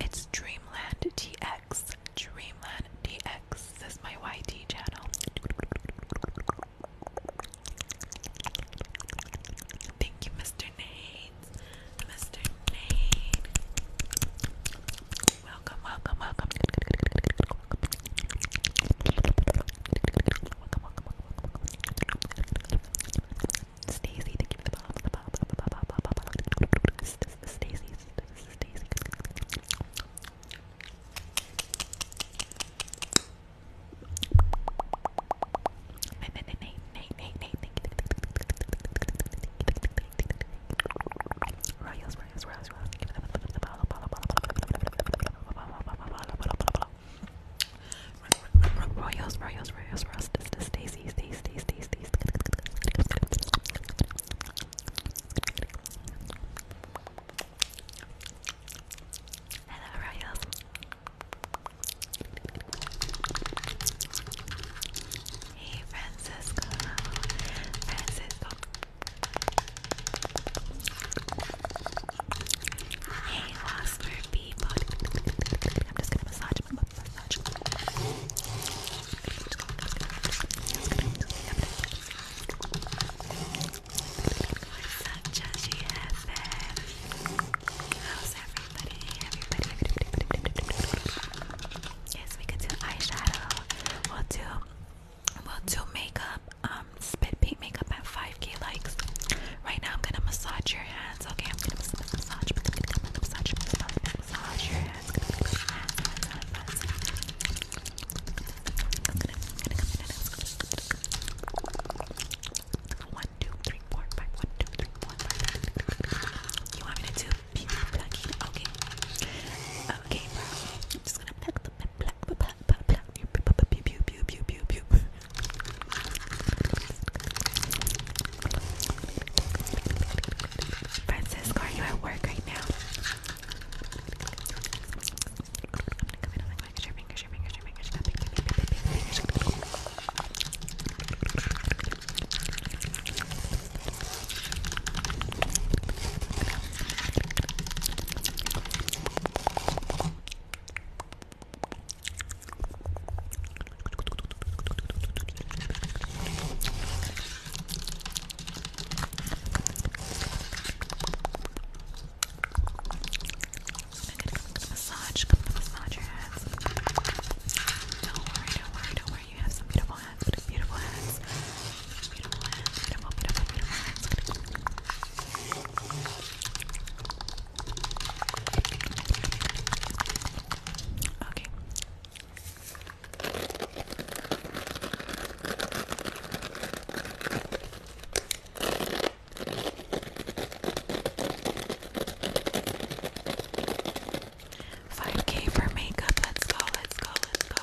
It's Dreamland DX. Dreamland DX. This is my YT channel. Thank you, Mr. Nate. Mr. Nate. Welcome, welcome, welcome. Welcome, welcome, welcome. Stacy, thank you for the bomb, the bomb, the bomb, the bomb, the bomb. Stacy, Stacy. Royals, Royals, Royals, Royals. Royals, Royals, Royals, Royals. Stacy, Stacy, Stacy, Stacy. Hello, Royals. Hey Francisco, Francisco. Hey Wasper people. I'm just gonna massage such as you have been. How's everybody? Everybody, Yes, we could do eyeshadow. We'll do we'll do makeup, um, spit paint makeup at 5k likes. Right now I'm gonna massage your hands, okay? I'm gonna massage massage massage massage massage your hands one, two, three, four, five, one, two, three, four, five. You want me to do Okay. Okay, just gonna pluck the pluck, pluck, pluck, pluck, pluck, pew, pew, pew, pew, pew, pew. Francisco, are you at work right now? I'm gonna come in, I'm gonna come in, I'm gonna fingers, your fingers, your fingers, your fingers, snapping, fingers, I'm gonna, I'm going massage, I'm massage your hands. Don't worry, don't worry, don't worry. You have some beautiful hands, beautiful hands, beautiful hands, beautiful, beautiful, beautiful hands. Okay, 5k for makeup. Let's go, let's go, let's go.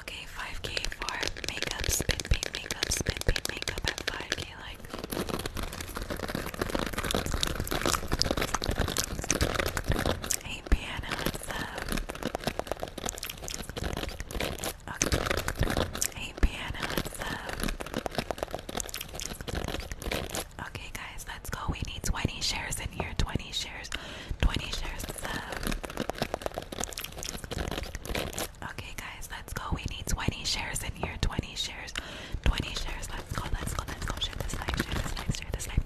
Okay, 5k for makeup, spit paint makeup, spit paint makeup at 5k like. Hey piano, what's up? Okay. Hey piano, what's up? Okay guys, Let's go. We need 20 shares in here. 20 shares. 20 shares. Okay, guys, let's go. We need 20 shares in here. 20 shares. 20 shares. Let's go. Let's go. Let's go. Share this life. Share this life. Share this life.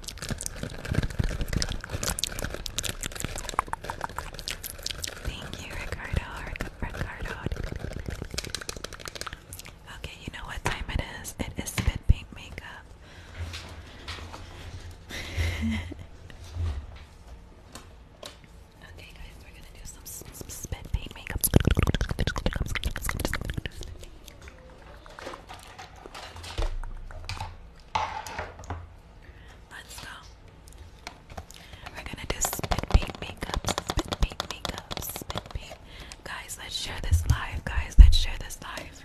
Thank you, Ricardo. Ricardo. Okay, you know what time it is? It is spit paint makeup okay, guys, we're gonna do some, spit paint makeup. Let's go. We're gonna do spit paint makeup, spit paint makeup, spit paint. Guys, let's share this life. Guys, let's share this live.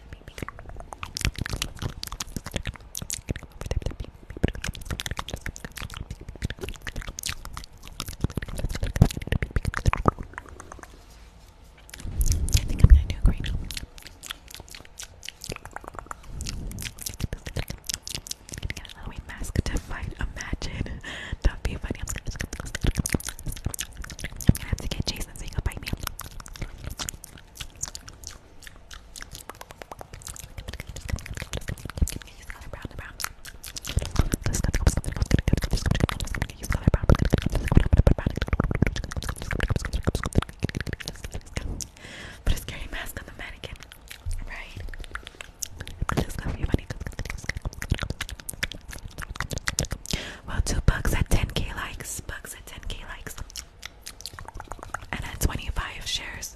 I think I'm gonna do green. i mask to fight a magician. that be funny. I'm gonna have to get Jason so he bite me. Put a scary mask on the mannequin, right? Just gonna be funny. Well, two bucks at 10k likes, bugs at 10k likes, and at 25 shares.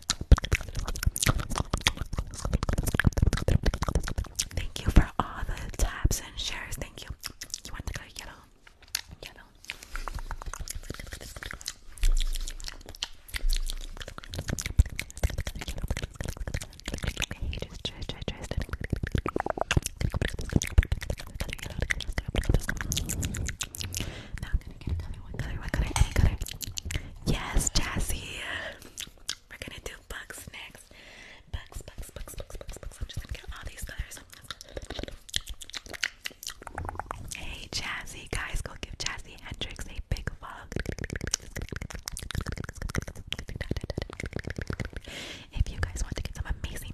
Thank you for all the taps and shares. Thank you. You want the color yellow? Yellow. Yes, Jazzy. We're gonna do bugs next. Bugs, bugs, bugs, bugs, bugs, bugs. I'm just gonna get all these colors. Hey Jazzy, guys, go give Jazzy Hendrix a big follow. If you guys want to get some amazing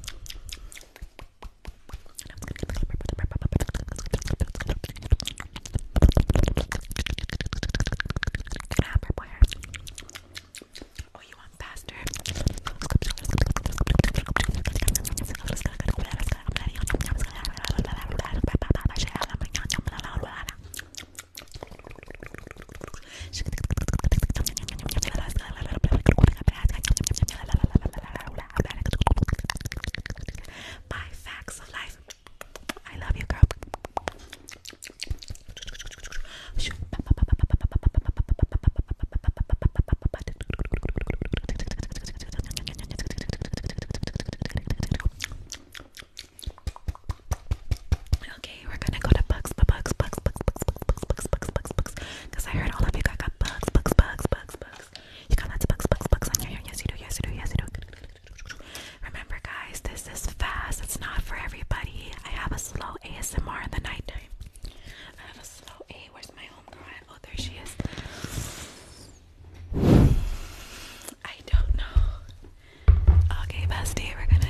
Oh, you want faster? My facts of life. I love you, girl okay, we're gonna go to bugs, but bugs, bugs, bugs, bugs, bugs, bugs, bugs, bugs, bugs, because I heard all of you got bugs, bugs, bugs, bugs, bugs. You got lots of bugs, bugs, bugs on your hair. Yes, you do. Yes, you do. Yes, you do. Remember, guys, this is fast. It's not for everybody. I have a slow ASMR in the nighttime. I have a slow A. Where's my homegirl? Oh, there she is. I don't know. Okay, bestie, we're gonna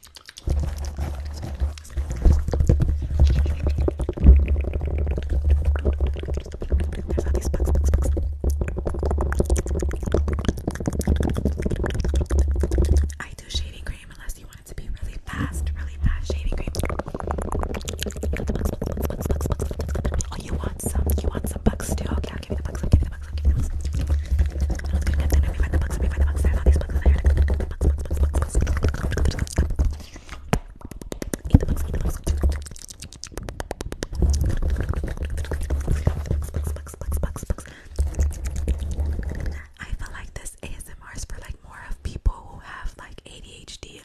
There's all these bugs, bugs, bugs. I do shaving cream unless you want it to be really fast, really fast shaving cream. Oh, you want some? You want some bugs too? Okay, I'll give you the bugs. I'll give you the I feel like this ASMR is for like more of people who have like ADHD.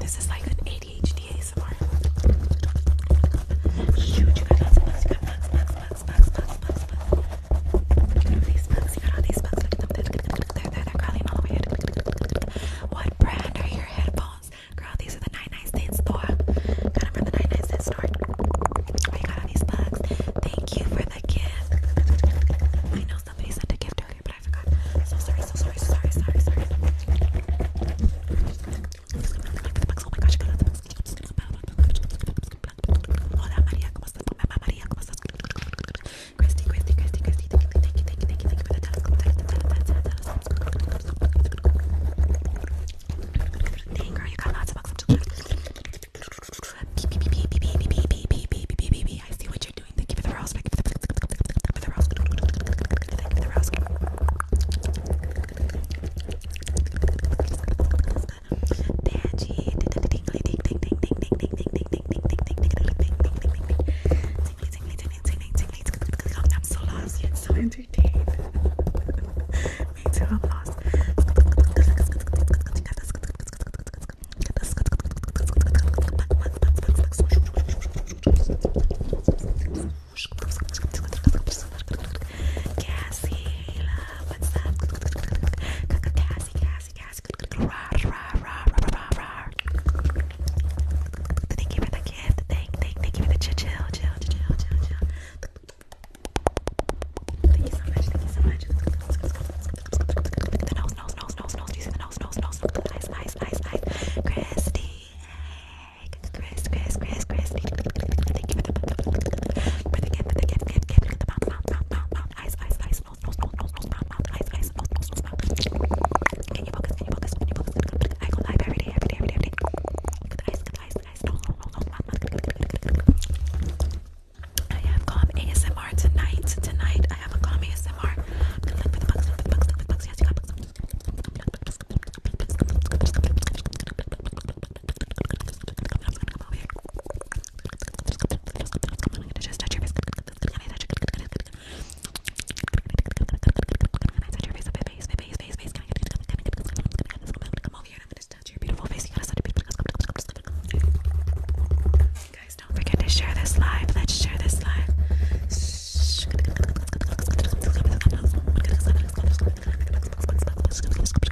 This is like an ADHD ASMR. What brand are your headphones? Girl, these are the 99 Cent store. Got them from the 99 Cent store. Oh, got all these bugs. Thank you for the gift. I know somebody sent a gift earlier, but I forgot. So sorry, so sorry, so sorry, sorry, sorry. Hola María, ¿cómo estás? Mamá María, ¿cómo estás? Christy, Christy, Christy, Christy, thank you, thank you, thank you, thank you, thank you for the Dang girl, you got lots of bucks. I see what you're doing. Thank you for the rose. Thank you for the rose. Thank you for the rose. I'm so lost yet so entertained. Me too, I'm lost. Cassie, love, what's up? Cassie, Cassie, Cassie, Thank you for the gift. Thank, thank, thank you for the chill, chill, chill, chill, chill, chill. Thank you so much. Thank you so much. The nose, nose, nose, nose, nose. Do you see the nose, nose, nose? Eyes, eyes, eyes, eyes. Christy, Chris, Chris, Chris, Chris. Thank you for the for the gift, for the gift, gift, gift, the mouth, mouth, mouth, mouth, mouth, eyes, eyes, eyes, nose, nose, nose, nose, nose, mouth, mouth, eyes, eyes, nose, nose, mouth. Can you focus? Can you focus? Can you focus? I go live every day, every day, every day, every day. Good eyes, good eyes, eyes, nose, nose, nose, nose, mouth, mouth. I have calm ASMR tonight. Tonight I have a calm ASMR. I'm gonna look for the bugs, look for the bugs, look for the bugs. Yes, you got bugs just touch your face. Can I touch your face? Can I touch your face? Face, face, face, face. Can I come over here and I'm gonna touch your beautiful face? You gotta such a beautiful Guys, don't forget to share this live. Let's share this live. Shh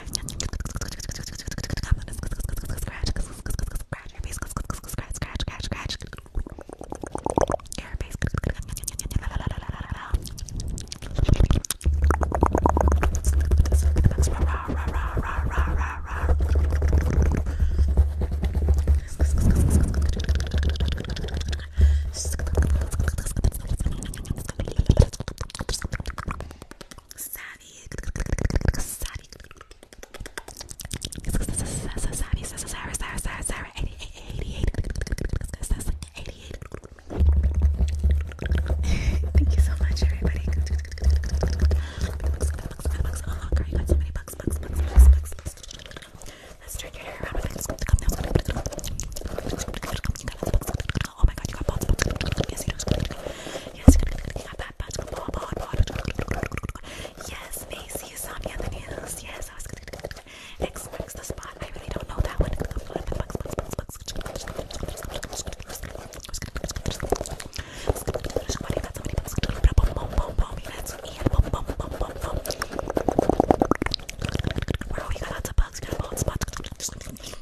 scratch, scratch your face, scratch, scratch, scratch, scratch your face. Scratch, scratch, scratch, scratch, savvy, savvy, savvy, savvy, savvy, savvy, 88, 88, Thank you so much, everybody. Oh, girl, you got so many bucks, bucks, bucks, bucks, bucks. Let's turn your hair around with it house. You got house bugs. Oh my god, you got bugs. Yes, you do. Yes, you got bad bugs. Yes, Macy is on the news. Yes, I was good. X marks the spot. I really don't know that one. Wow, you got lots of bugs, you got a bald spot.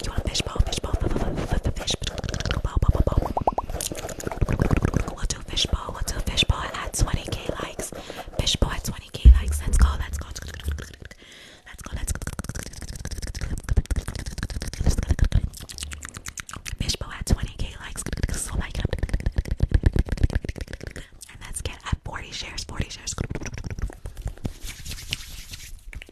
You want a fish ball? Fish ball? Fish ball? We'll do fish ball. We'll do fish ball at 20k likes. Fish ball at 20k likes. Let's go. Let's go. Let's go. Let's go. Fish ball at 20k likes. So like it up. And let's get at 40 shares. 40 shares.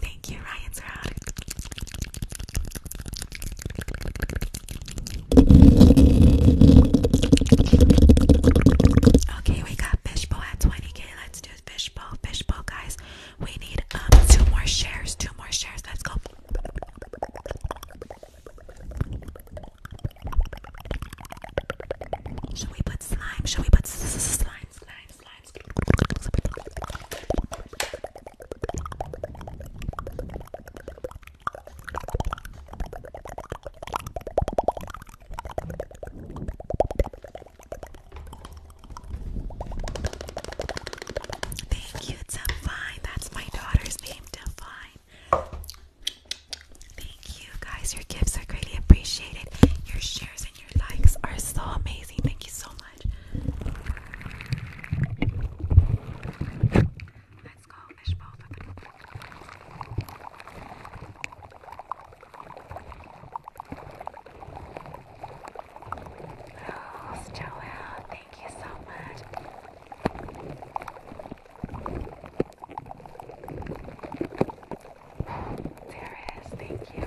Thank you, Ryan's Rod. Okay, we got Fishbowl at 20k. Let's do do fishbowl, fishbowl, guys. We need um, two more shares, two more shares. Let's go. Should we put slime? Should we put slime? Slime, slime. Thank you, Divine. That's my daughter's name, Divine. Thank you, guys. Your gifts are greatly appreciated. Your shares and your likes are so amazing. Thank you so much. Let's go, fishbowl. Oh, Stella, thank you so much. There it is, thank you.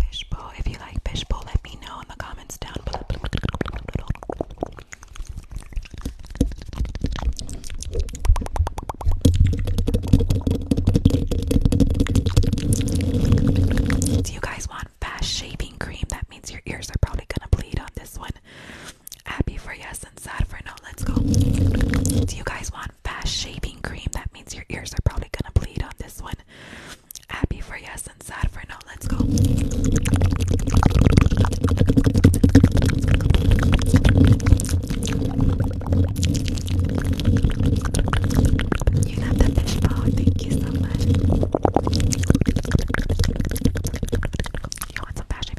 fishbowl. If you like fishbowl, let me know in the comments down below. Do you guys want fast shaping cream? That means your ears are probably gonna bleed on this one. Happy for yes and sad for no. Let's go. Do you guys want fast shaving cream? That means your ears are probably gonna bleed on this one. Happy for yes and sad for no. Let's go. You got the fish Thank you so much. You want some fashion?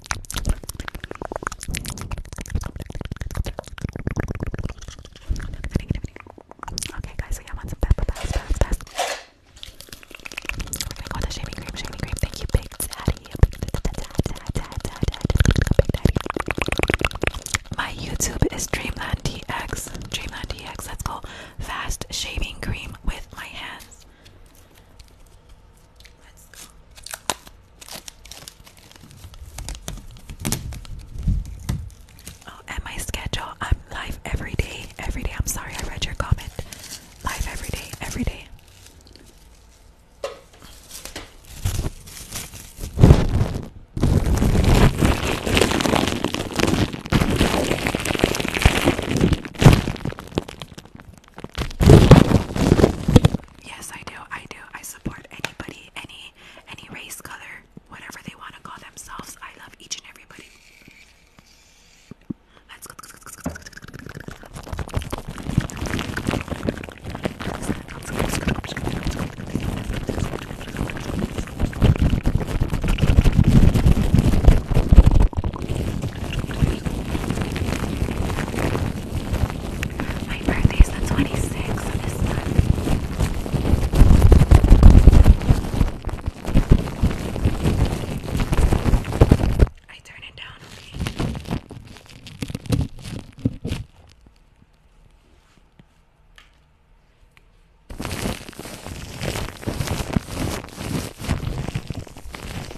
Okay, guys, so I want some pepper pass, pass, pass. We're gonna the shaving cream, shaving cream. Thank you, Daddy. My YouTube is Dreamland DX. Dreamland DX. Let's go. Fast shaving cream with my hands. Oh, and my schedule. I'm live every day. Every day. I'm sorry I read your comment. Live every day. Every day. Yes, I do. I do. I support anybody, any any race, color, whatever they want to call themselves. I love each and everybody. My birthday is the 26th of this month. I turn it down, okay?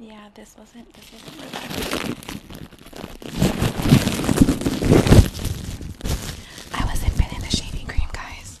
Yeah, this wasn't this wasn't really I wasn't feeling the shaving cream, guys.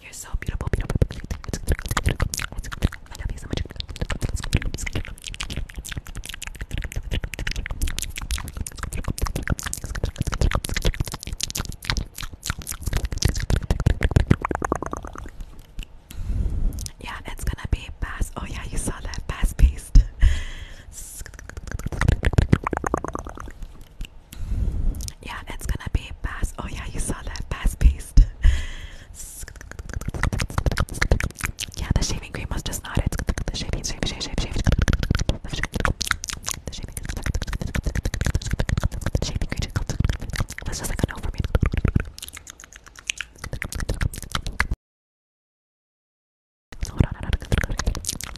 You're so beautiful, I love you so much. Yeah, it's gonna be bass. Oh, yeah, you saw that bass paste. Yeah, it's gonna be pass. Oh, yeah, you saw that pass paste. yeah, the shaving cream was just not it. The shaving, shave, shave, shave, shave. The shaving, the shaving cream was just like a no for me. Hold on, hold on, hold on.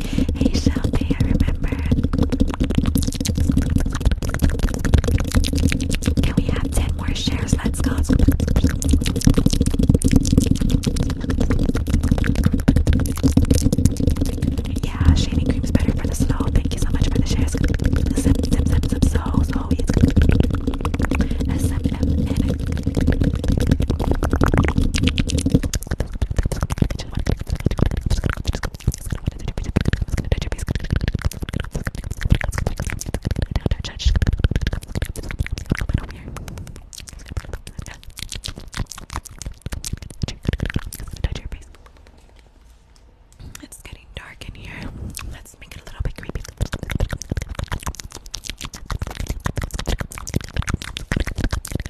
Hey Shelby, I remember. Can we have 10 more shares? Let's go. Yeah, shaving cream's better for the snow. Thank you so much for the shares. Zip, zip, zip, zip, so, so easy. SMMN just want to it's getting dark in here. Let's make it a little bit creepy.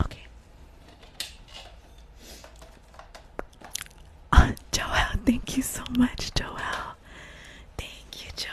Okay. Uh, Joel, thank you so much, Joel. Thank you, Joel.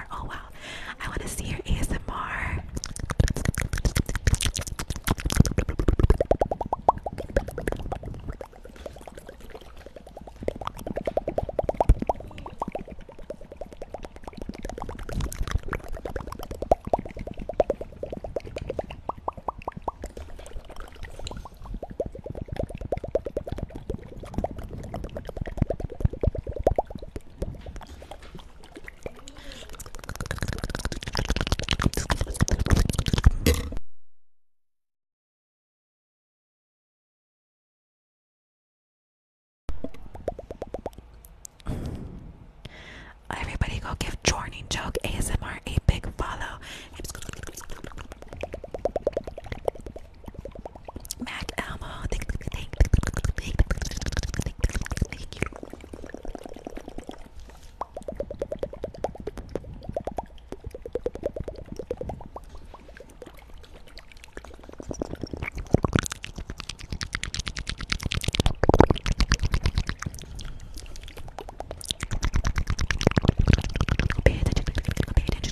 Oh wow, I want to see your ASMR. Everybody go give Jorning Joke ASMR a big follow. Mac Elmo. Thank, thank, thank, thank, thank you. Pay attention, pay attention,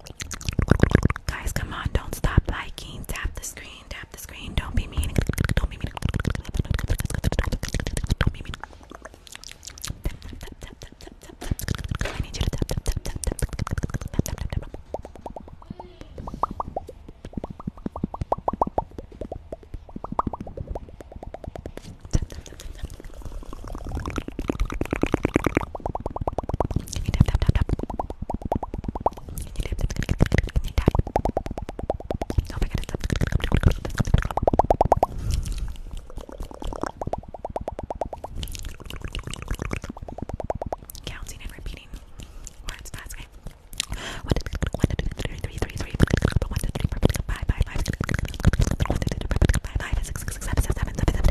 Guys, come on, don't stop liking. Tap the screen, tap the screen. Don't be mean. Don't be mean. Counting and repeating words fast. Okay. One, two, one, two, three, three, three, three. One, two, three, five, five, five. One, two, three, five, five, six, six, six, seven, seven, seven, seven.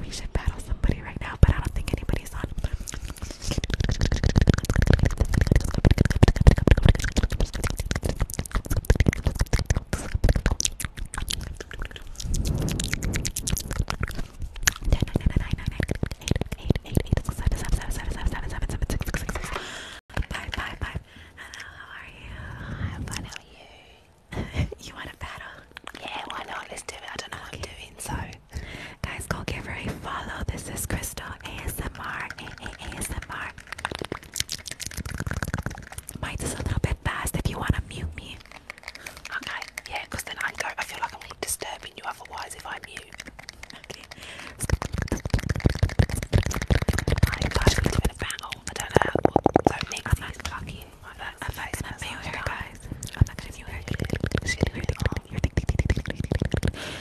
We should battle somebody right now, but I don't think anybody's on. Bye, how are you? I'm fine, how are you? you want a battle? Yeah, why not? Let's do it. I don't know how what I'm doing, so. Guys, go give her a follow. This is Crystal ASMR. A -A ASMR. Mine's is a little bit fast if you want to mute me. Okay, yeah, then I go. I feel like I'm disturbing you otherwise if I mute. Okay. we're doing a battle. I don't know. Don't make i I'm not, gonna mail her, guys. I'm not gonna mail her.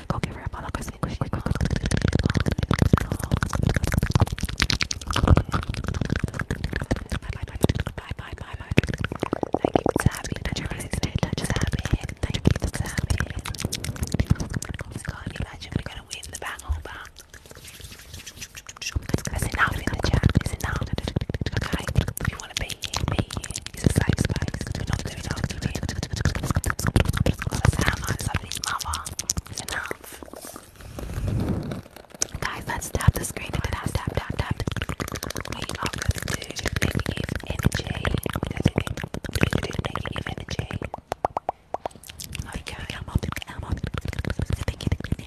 go give her a follow quick, quick, quick, quick. Bye, bye, bye, bye, bye. Thank you, Sammy. Touch your face today. Touch Sammy. Thank you, Sammy. God, imagine we're gonna win the battle, but that's enough in the chat. It's enough. Okay. If you want to be here, be here. It's a safe space. We're not doing arguing. That's how nice of his mother. It's enough. Guys, let's tap the screen. Tap, tap, tap, tap. We are going to do negative energy. We're going to do negative energy. Okay. Come on, come on. Negative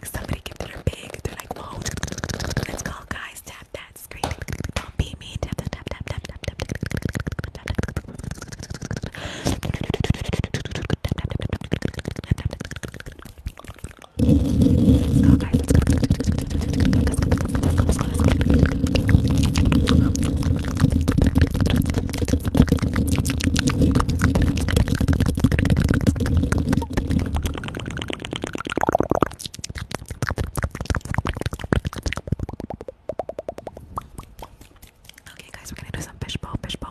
big. Somebody give dinner big. like, whoa, let's go, guys. Tap that screen. Don't be mean. Tap, tap, tap, tap, tap, tap, tap, tap, tap, Okay, guys, we're gonna do some fishbowl, fishbowl.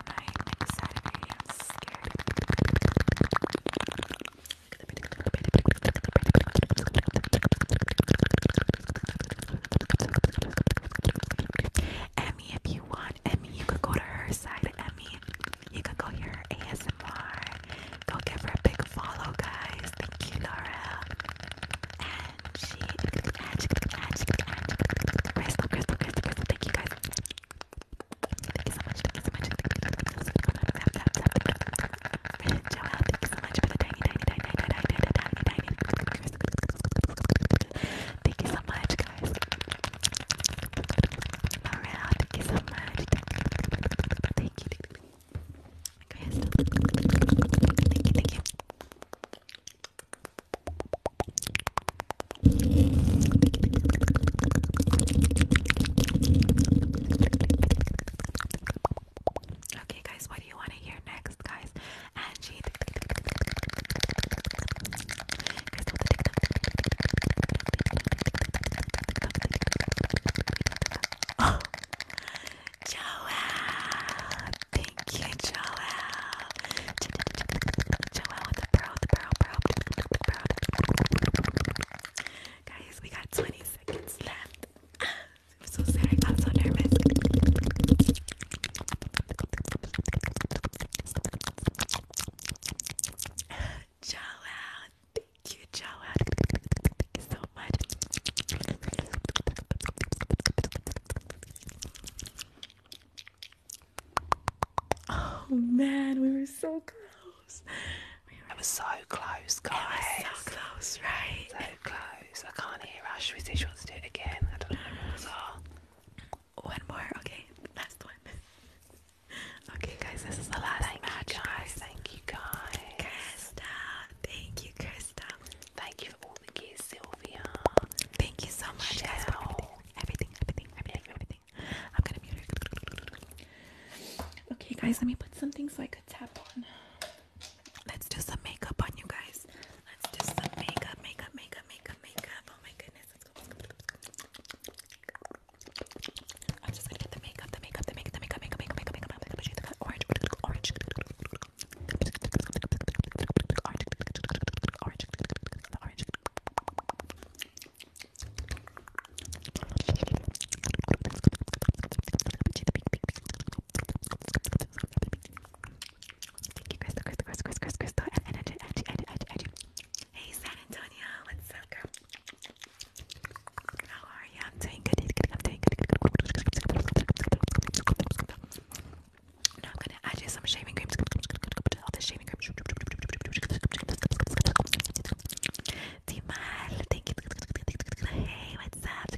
I'm scared. Emmy, if you want, Emmy, you could go to her side. Emmy, you could go hear her ASMR. Go give her a big follow, guys. Thank you, Laura. And she, Thank you, guys. Thank you so much, thank you so much, thank you so much. Joelle, thank you so much for the tiny, tiny, tiny, tiny, tiny, tiny, tiny, tiny. Thank you so much, guys. Morale, thank you so much. Thank you, thank you. Crystal. Thank you, thank you. Okay, guys, what do you want to hear next, guys? Angie. Oh, Joelle. Thank you, Joelle. Guys, we got 20 seconds left. I'm so sorry, I'm so nervous. Joelle, thank you, Joelle. Thank you so much. Oh man, we were so close. We were, so close, guys. so close, right? So close. I can't hear Ash. We she wants to do it again. I don't know what those are. Oh. One more, okay. Last one. Okay, guys, this is the last thank match, you guys. Thank you, guys. Krista, thank you, Krista. Thank you for all the gifts, Sylvia. Thank you so much, Michelle. guys everything, everything, everything, everything. I'm gonna mute her. Okay, guys, let me put something so I could tap on. Let's do some makeup on you guys. Let's do some makeup, makeup, makeup, makeup, makeup. Oh my goodness, let's go. Let's go, let's go, let's go. I'm just gonna get the makeup, the makeup, the makeup, the makeup, makeup, makeup, makeup, makeup, makeup, makeup, orange, orange, orange, orange the orange. Thank you, Crystal, Crystal, Crystal, Crystal, Crystal, Crystal, and Edgy, Edgy, Edgy, Edgy, Edgy. Hey, San Antonio, what's up, girl? How are you? I'm doing good. I'm doing good. I'm doing good. I'm gonna add you some shaving cream. All the shaving cream. Hey, what's up?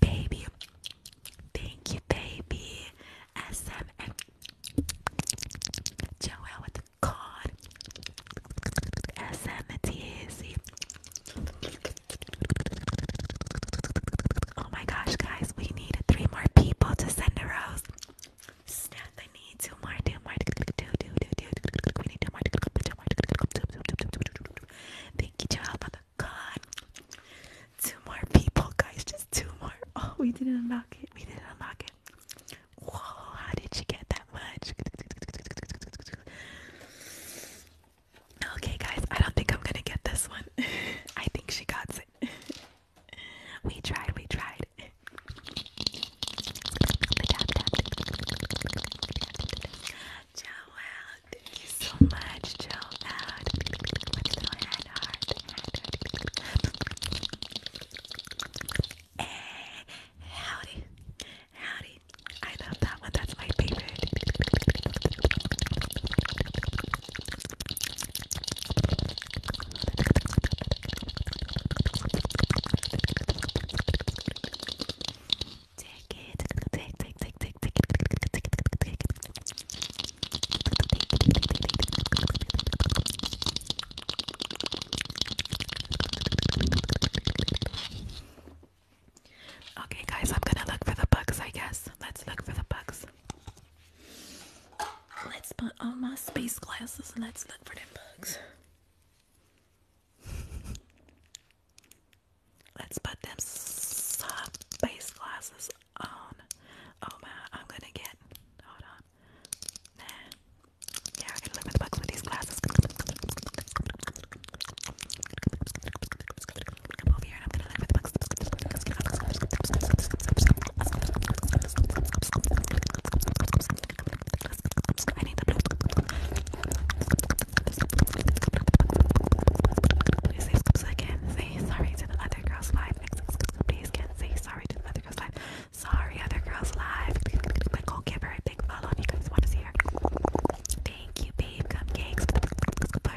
Baby, thank you, baby. SM and with the card. SM Oh my gosh, guys, we need three more people to send a rose. I need two more, two more, do, Thank you, child, mother God. Two more people, guys. Just two more. Oh, we didn't unlock it. We didn't unlock it. Whoa, how did she get that much? Okay, guys, I don't think I'm gonna get this one. I think she got it. we tried, we tried tap, Thank you so much. Ciao Hey, eh, howdy. Howdy. I love that one. That's my favorite. Okay, guys, I'm gonna look for the bugs. I guess let's look for the bugs. Let's put on my space glasses and let's look for them bugs. Let's put them soft glasses on. Oh my, I'm gonna get. Hold on. Nah. Yeah, I can live with the bugs with these glasses. I need the blue. Please say sorry to the other girl's life. Please can say sorry to the other girl's life. Sorry, other girl's life. go give her a big follow you guys want to see her. Thank you, babe. Cupcakes. Goodbye.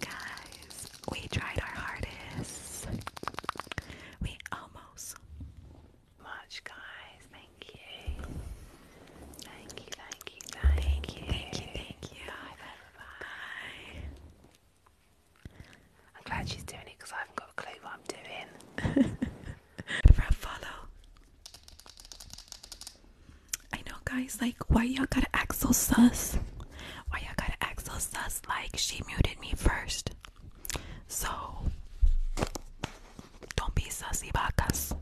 Guys, we tried our hardest. We almost much, guys. Thank you. Thank you, thank you, thank, you. Thank you, Bye, Bye. I'm glad she's doing it because I haven't got a clue what I'm doing. For a follow. I know, guys. Like, why y'all gotta act so sus? Why y'all gotta act so sus? Like, she muted me first. So, don't be sussy bacas.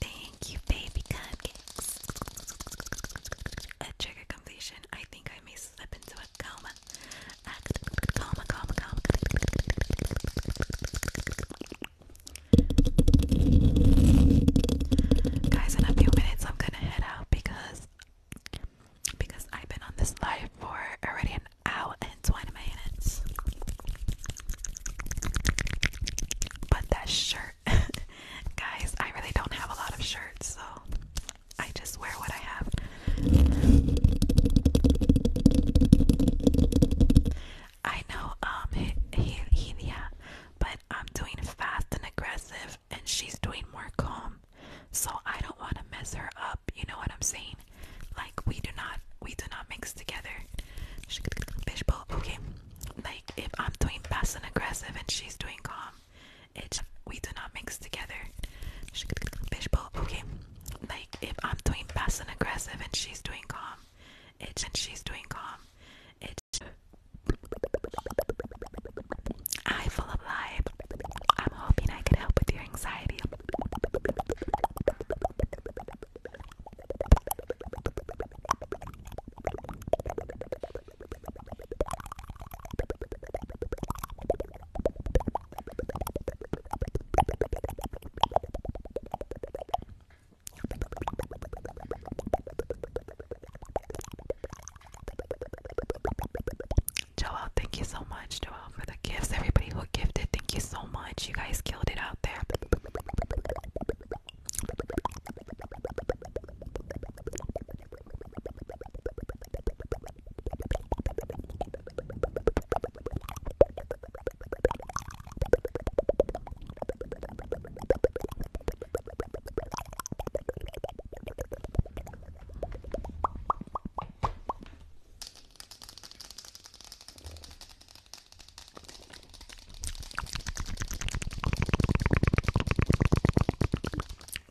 Thank you, baby cupcakes. A trigger completion. I think I may slip into a coma. coma, coma, coma. Guys, in a few minutes I'm gonna head out because because I've been on this live for already an hour and 20 minutes. But that shirt, guys, I really don't have a lot of shirts, so I just wear what I have. I know um Helia, but I'm doing fast and aggressive and she's doing more calm. So I don't want to mess her up, you know what I'm saying? Like we do not we do not mix together. Fishbowl, okay. Like if I'm doing fast and aggressive and she's doing calm, it we do not mix together. Fishbowl, okay. Like if I'm doing fast and aggressive and she's doing calm, it's and she's doing calm. It's I full of life. I'm hoping I could help with your anxiety. Joel, thank you so much, Joel, for the gifts. Everybody who gifted, thank you so much. You guys killed it out there.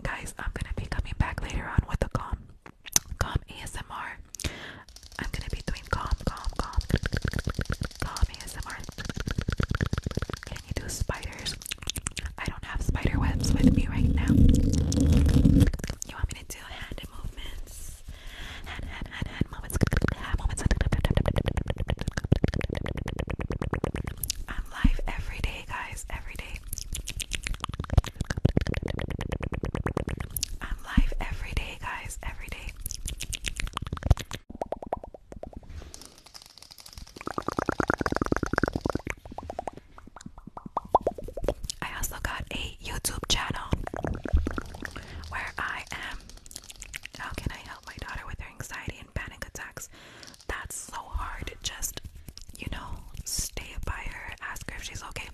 Guys, I'm gonna be coming back later on with a calm, calm ASMR. I'm gonna be doing calm, calm, calm. Can you do spiders? I don't have spider webs with me right now. You want me to do hand movements? Hand, hand, hand, Hand movements. I'm live every day, guys. Every day. I'm live every day, guys. Every day. I also got a YouTube channel where I am. How can I help my daughter with her anxiety and panic attacks? That's so hard. Just, you know, stay by her, ask her if she's okay.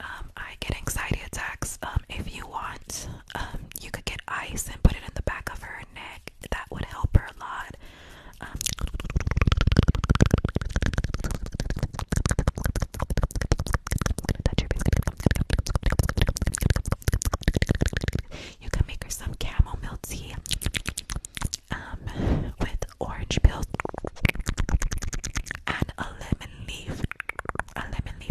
Um, I get anxiety attacks. Um, if you want, um, you could get ice and put it in the back of her neck. That would help her a lot. Um, you can make her some chamomile tea um, with orange peel and a lemon leaf. A lemon leaf.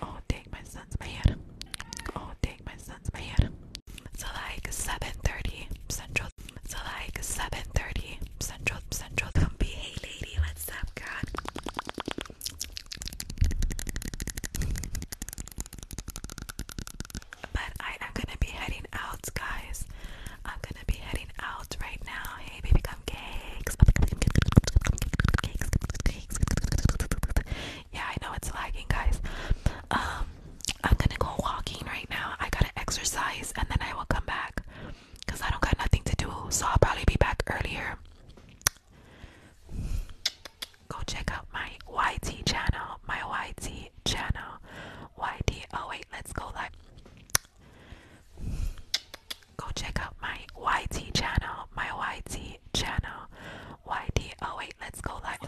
Oh dang, my son's mad. Oh dang, my son's mad. So like 7:30 Central. So like 7:30 Central Central. Come be hey lady, Let's God? But I am gonna be heading out, guys. I'm gonna be heading out right now. Yeah, I know it's lagging, guys. Um, I'm gonna go walking right now. I gotta exercise and then I will come back because I don't got nothing to do, so I'll probably be back earlier. Go check out my YT channel, my YT channel, YT. Oh, wait, let's go live go check out my YT channel, my YT channel, YT. Oh wait, let's go live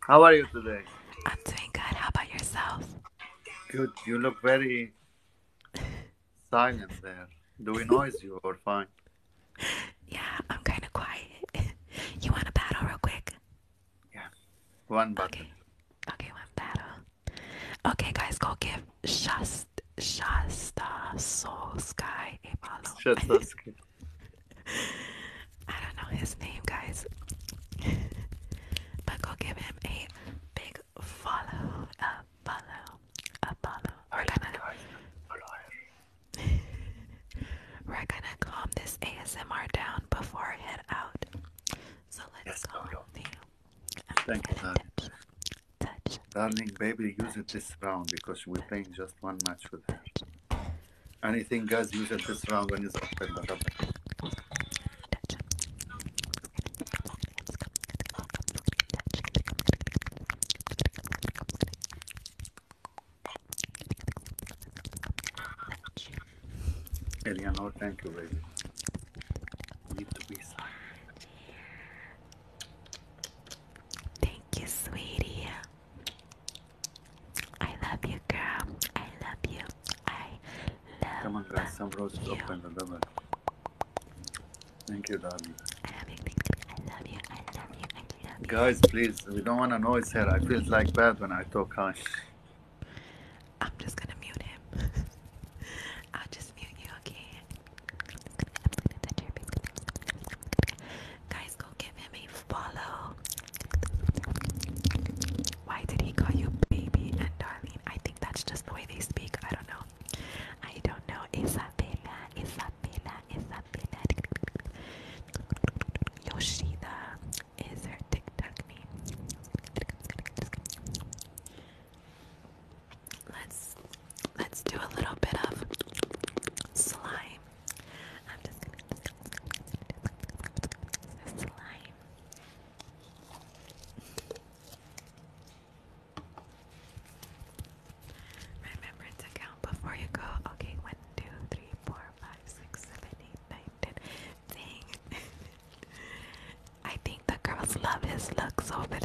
How are you today? I'm doing good. How about yourself? Good. You look very silent there. Do we noise you or fine? Yeah, I'm kind of quiet. you want a battle real quick? Yeah. One battle. Okay. okay, one battle. Okay, guys, go give Shasta Shasta Soul Sky a follow. I don't know his name, guys. but go give him a big follow, a follow, a follow. We're gonna, we're gonna calm this ASMR down before I head out. So let's go. Thank you, darling. Darling, baby, use it this round because we're playing just one match with her. Anything, guys, use it this round when you open the rubber. Eliano, thank you, baby. Leave the pizza. Thank you, sweetie. I love you, girl. I love you. I love Come on, guys. Some roses open the ribbon. Thank you, darling. I love you. I love you. I love you. Guys, please, we don't want to noise here. I feel like bad when I talk high. I'm just gonna mute him. I'll just mute you, okay? Guys, go give him a follow. Why did he call you baby and darling? I think that's just the way they speak. I don't know. I don't know. Isabella, Isabella, Isabella. Yoshida is her TikTok name. Let's let's do a little bit of slime. I'm just gonna slime. Remember to count before you go. Okay, one, two, three, four, five, six, seven, eight, nine, distracted. I think the girls love his looks over there.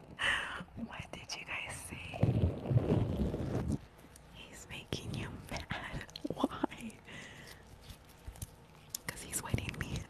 what did you guys say? He's making you mad. Why? Because he's waiting me.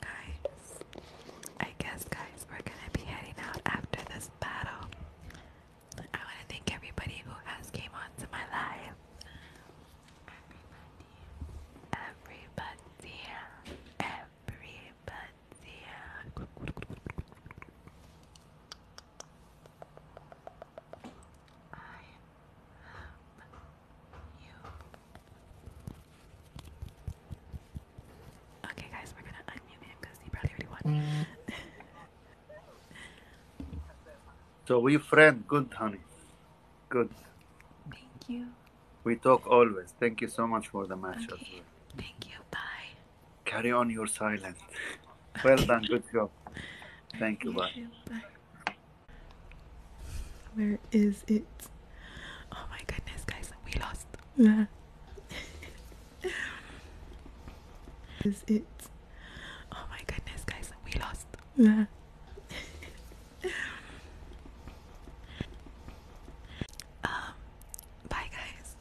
guys, I guess, guys, we're gonna be heading out after this battle. I want to thank everybody who has came on my live. Everybody, everybody, everybody. Okay, guys, we're gonna unmute him because he probably already won. so we friend, good honey, good. Thank you. We talk always. Thank you so much for the match. Okay. Thank you. Bye. Carry on your silence. well done. Good job. Thank you. bye. Bye. Where is it? Oh my goodness, guys, we lost. Where is it? Oh my goodness, guys, we lost. Where um, bye, guys.